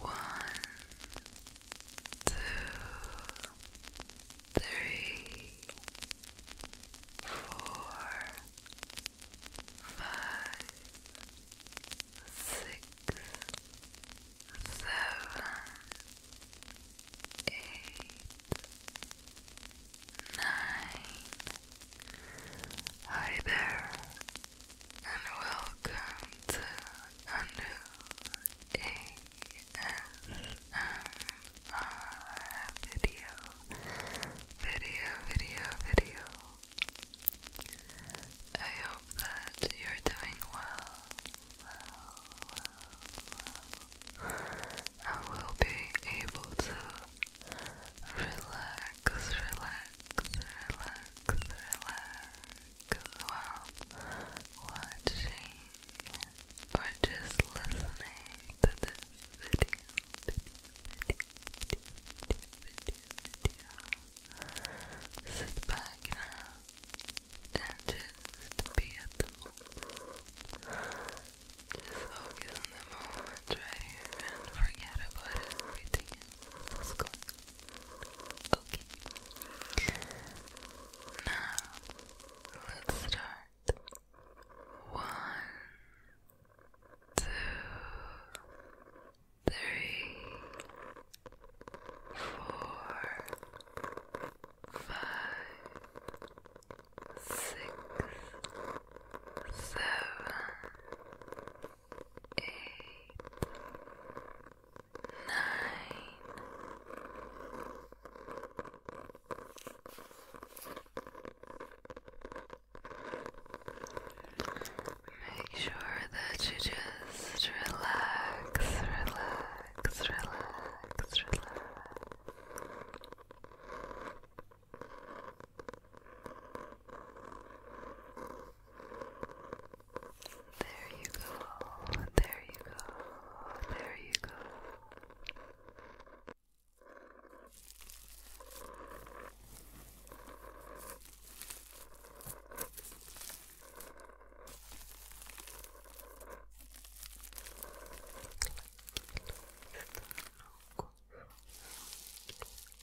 One, two, three, four, five, six, seven, eight, nine. Hi there and welcome to a new ASMR video, video, video, video. I hope that you're doing well. I will be able to relax, relax relax, relax while watching or just listening to this video, Sit back now and just be at the moment. Just focus on the moment right here and forget about everything else that's going Okay. Now, let's start. One, two, three, four, five, six, seven, Make sure that you just relax, relax, relax. Relax. There you go. There you go. There you go.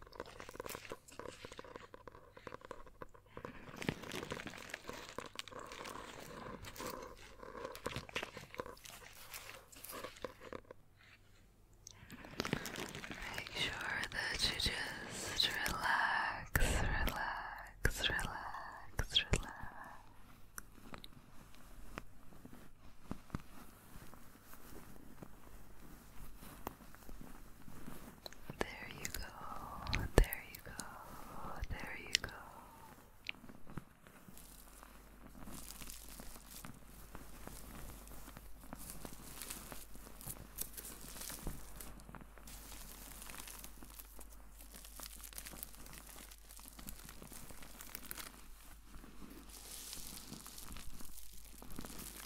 Make sure that you just relax, relax, relax, relax. There you go, there you go, there you go.